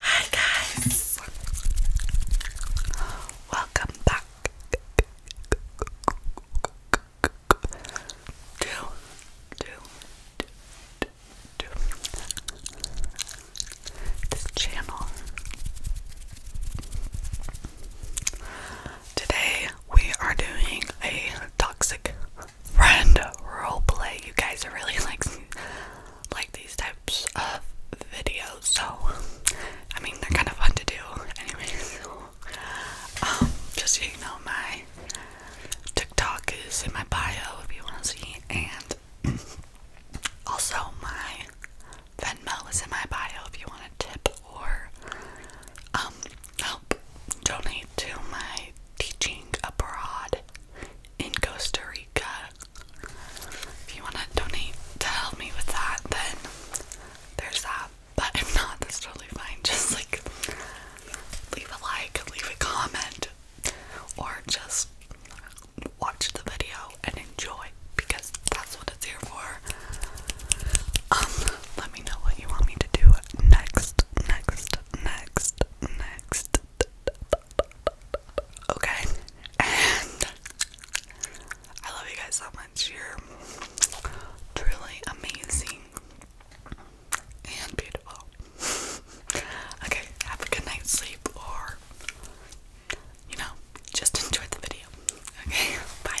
Hi guys! Welcome back to, to, to, to this channel. Today we are doing a toxic friend role play. You guys are really like like these type of videos, so I mean they're kind of fun to do. Anyway, um, just so you know, my TikTok is in my bio if you want to see, and also my Venmo is in my bio if you want to tip or um help donate to my teaching abroad in Costa Rica. If you want to donate to help me with that, then there's that. But if not, that's totally fine. Just like leave a like, leave a comment, or just watch the video and enjoy because that's what it's here for. Um, let me know what you want me to do next, next, next, next, Okay, and I love you guys so much. You're truly amazing and beautiful. okay, have a good night's sleep, or you know, just enjoy the video. Okay, bye.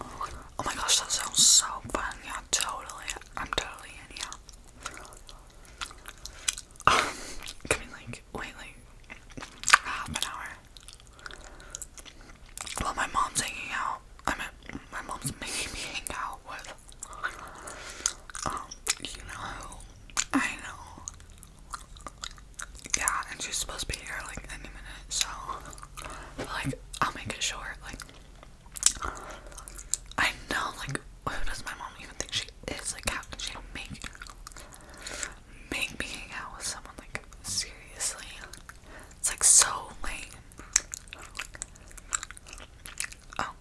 Oh my gosh, that sounds so fun. Yeah, totally. I'm totally in, yeah. Um, can we like wait like half an hour? Well, my mom's hanging out. I mean, my mom's making me hang out with. Um, you know, I know. Yeah, and she's supposed to be here like any minute, so like I'll make it short. Like I know, like who does my mom even think she is? Like how can she make make me hang out with someone like seriously? It's like so lame. Oh,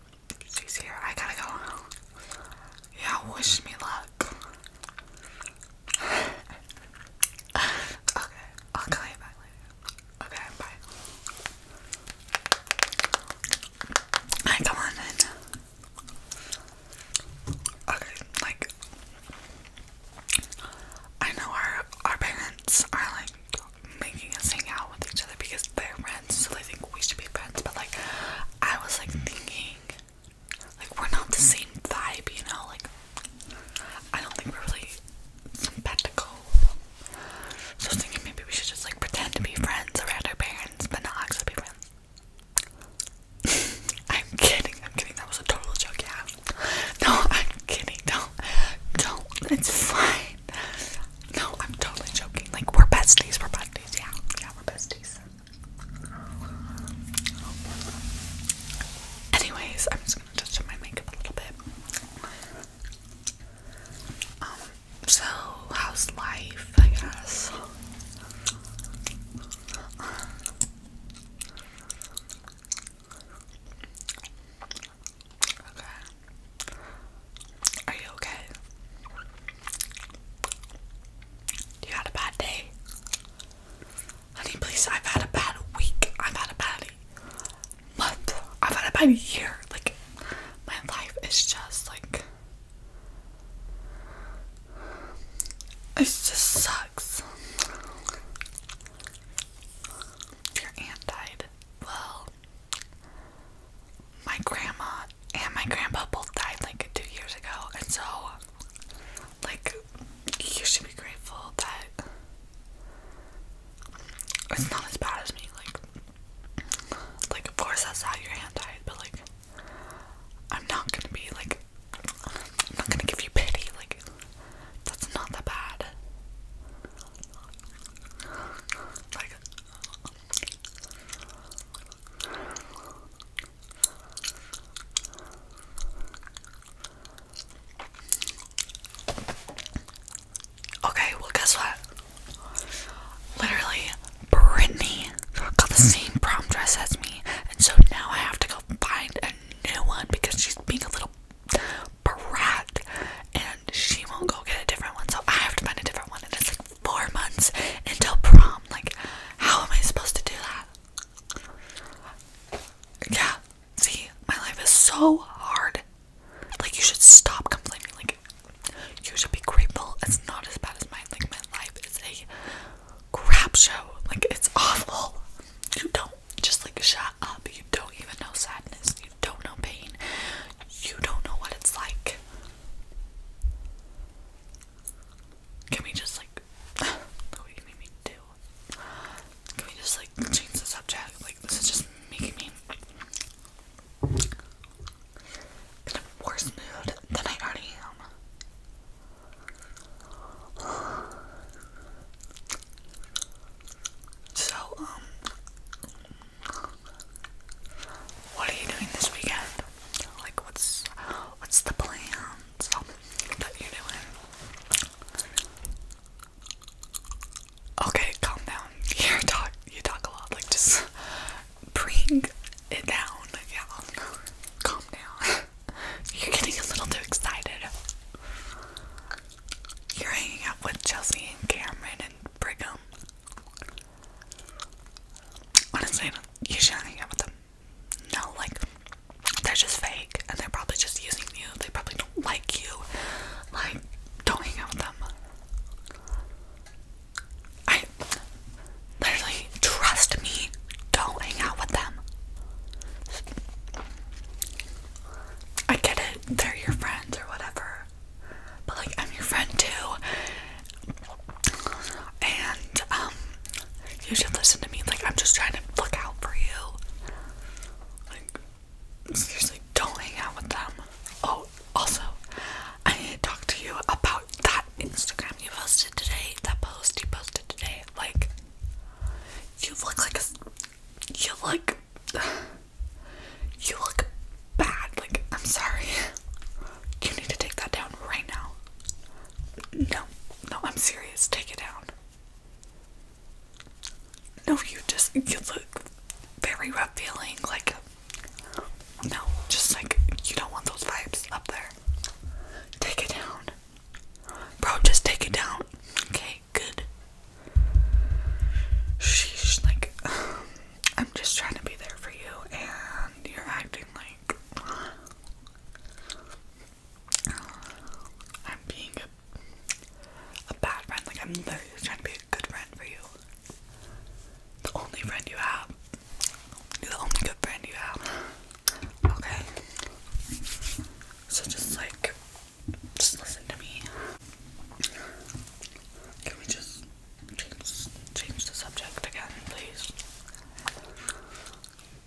she's here. I gotta go. Yeah, wish me luck. okay, I'll call you back Okay, bye. Alright, come on then. Okay, like I know our our parents are like making us hang out with each other because they're friends, so they think we should be friends. But like, I was like thinking like we're not the same vibe, you know, like I don't think we're really sympathetical. So I was thinking maybe we should just like pretend to be friends around our parents, but not actually be friends. I'm kidding, I'm kidding, that was a total joke, yeah. No, I'm kidding, don't do it's fine. No, I'm totally joking. Like we're besties, we're besties, yeah, yeah, we're besties. Anyways, I'm just gonna touch up my makeup a little bit. Um, so how's life, I guess? Okay. Are you okay? You had a bad day. Honey, please, I've had a bad week. I've had a bad month. I've had a bad year. Like, my life is just like. It just sucks. Your aunt died. Well, my grandma and my grandpa both died like two years ago, and so like you should be grateful that it's not as bad as me. Like, like of course that's how your hand died, but like I'm not gonna be like I'm not gonna give you pity. Like that's not that bad. Like Okay, well, guess what? Literally, Brittany got the same prom dress as me, and so now I have to go find a new one because she's being a little brat and she won't go get a different one, so I have to find a different one. And it's like four months until prom. Like, how am I supposed to do that? Yeah, see, my life is so hard. Like, you should stop complaining. Like, you should be grateful. It's not as bad as mine. Like, my life is a crap show. Like, it's awful. You don't just like shut up. You don't even know sadness. You don't know pain. You don't know what it's like can we just like Can we just like change the subject? Like this is just making me in a worse mood than I already am. So um what are you doing this weekend? Like, what's what's the plans that you're doing? Okay, calm down. You talk. You talk a lot. Like, just bring it down. Yeah, calm down. You're getting a little too excited. You're hanging out with Chelsea and Cameron and Brigham. Honestly, you shouldn't hang out with them. No, like, they're just fake and they're probably just using you. They probably don't like you. Like, don't hang out with them. I literally trust me, don't hang out with them. I get it, they're your friends or whatever. But like I'm your friend too. And um you should listen to me. Like I'm just trying to look out for you. Like seriously, don't hang out with them. Oh, also, I need to talk to you about that Instagram you posted today. That post you posted today. Like you look like a you look you look bad. Like, I'm sorry. You need to take that down right now. No, no, I'm serious. Take it down. No, you just, you look very rough feeling. Like, no, just like, you don't want those vibes up there. Take it down. Bro, just take it down. Okay? okay, good. Sheesh, like, I'm just trying to be there for you, and you're acting like I'm being a, bad friend. Like, I'm literally trying to be a good friend for you. The only friend you have. You're the only good friend you have. Okay. So just like just listen to me. Can we just change the subject again, please?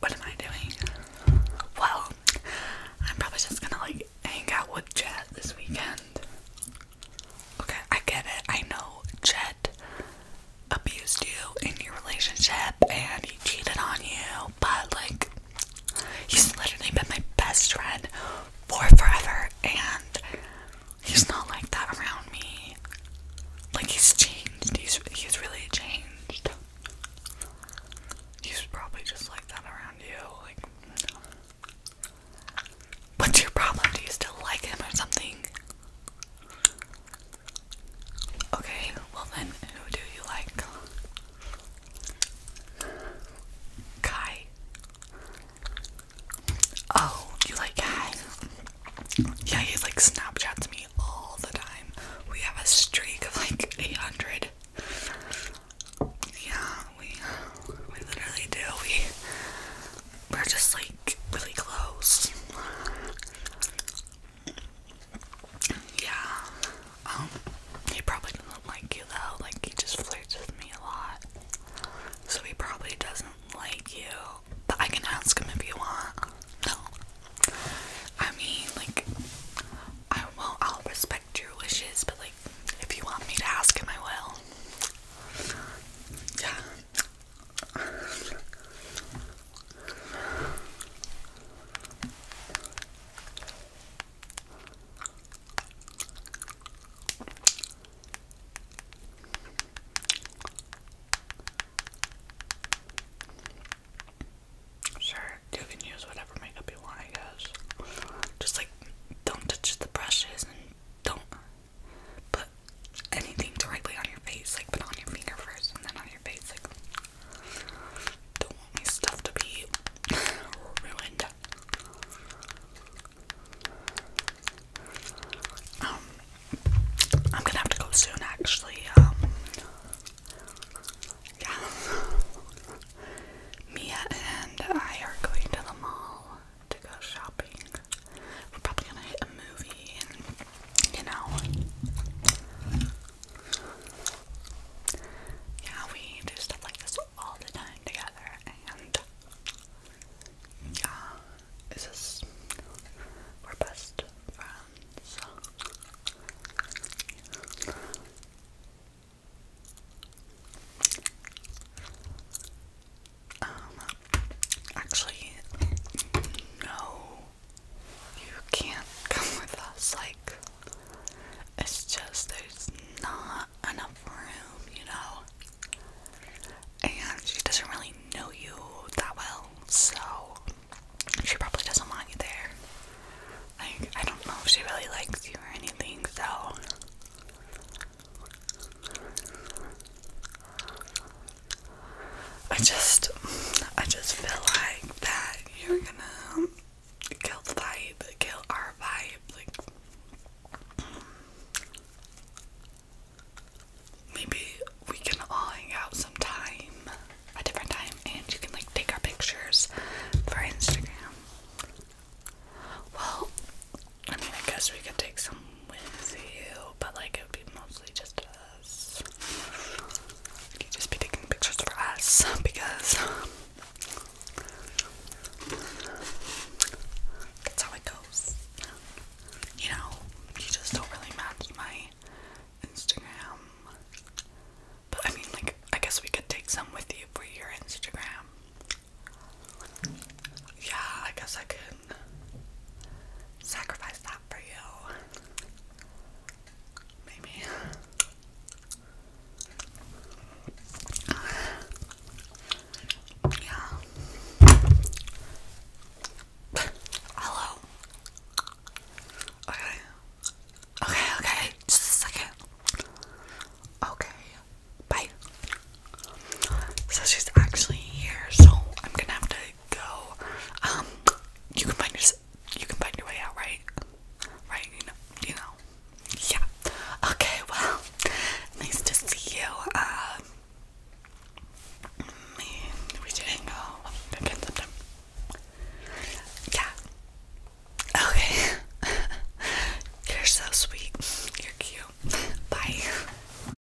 What am I doing? Well, I'm probably just gonna like hang out with Jet this weekend. Okay, I get it. I know Jet abused you in your relationship and he cheated on you, but like He's literally been my best friend for forever, and he's not like that around me. Like he's changed. He's he's really changed. He's probably just like that around you. Like, what's your problem? Do you still like him or something? Okay, well then, who do you like? Kai. Oh, you like Kai? Yeah, he like Snapchats me all the time. We have a streak of like 800. Yeah, we we literally do. We we're just like really close. Yeah. Um, he probably doesn't like you though. Like he just flirts with me a lot. So he probably doesn't like you. But I can ask him if you want. No. I mean, like, I will. I'll respect your wishes, but like, if you want me to ask him, I will. Yeah. Sure, you can use whatever makeup you want, I guess. Just like don't touch the brushes and don't put anything directly on your face. Like put on your finger first and then on your face. Like don't want my stuff to be ruined. Um, I'm gonna have to go soon actually. Um, yeah. Mia and I are going to the mall to go shopping. We're probably gonna hit a movie and, you know. Yeah, we do stuff like this all the time together, and yeah, this is we're best friends. Um, actually, no, you can't come with us. Like, it's just there's not enough room, you know? And she doesn't really know you that well, so she probably doesn't mind you there. Like, I don't know if she really likes you or anything, so. I just, I just feel like that you're gonna kill the vibe, kill our vibe. Like, maybe we can all hang out sometime, a different time, and you can like take our pictures for Instagram. Well, I mean, I guess we could take some with you, but like it would be mostly just because just be taking pictures for us because that's how it goes. You know, you just don't really match my Instagram. But I mean, like, I guess we could take some with you for your Instagram. Yeah, I guess I could sacrifice that for you. Maybe. Yeah. Hello. Okay. Okay, okay. Just a second. Okay. Bye. So she's actually here, so I'm gonna have to go. Um, you can find your you can find your way out, right? Right? You know, you know. Yeah. Okay. Well, nice to see you. Um, we did go again sometime. Yeah. Okay. You're so sweet. You're cute. Bye.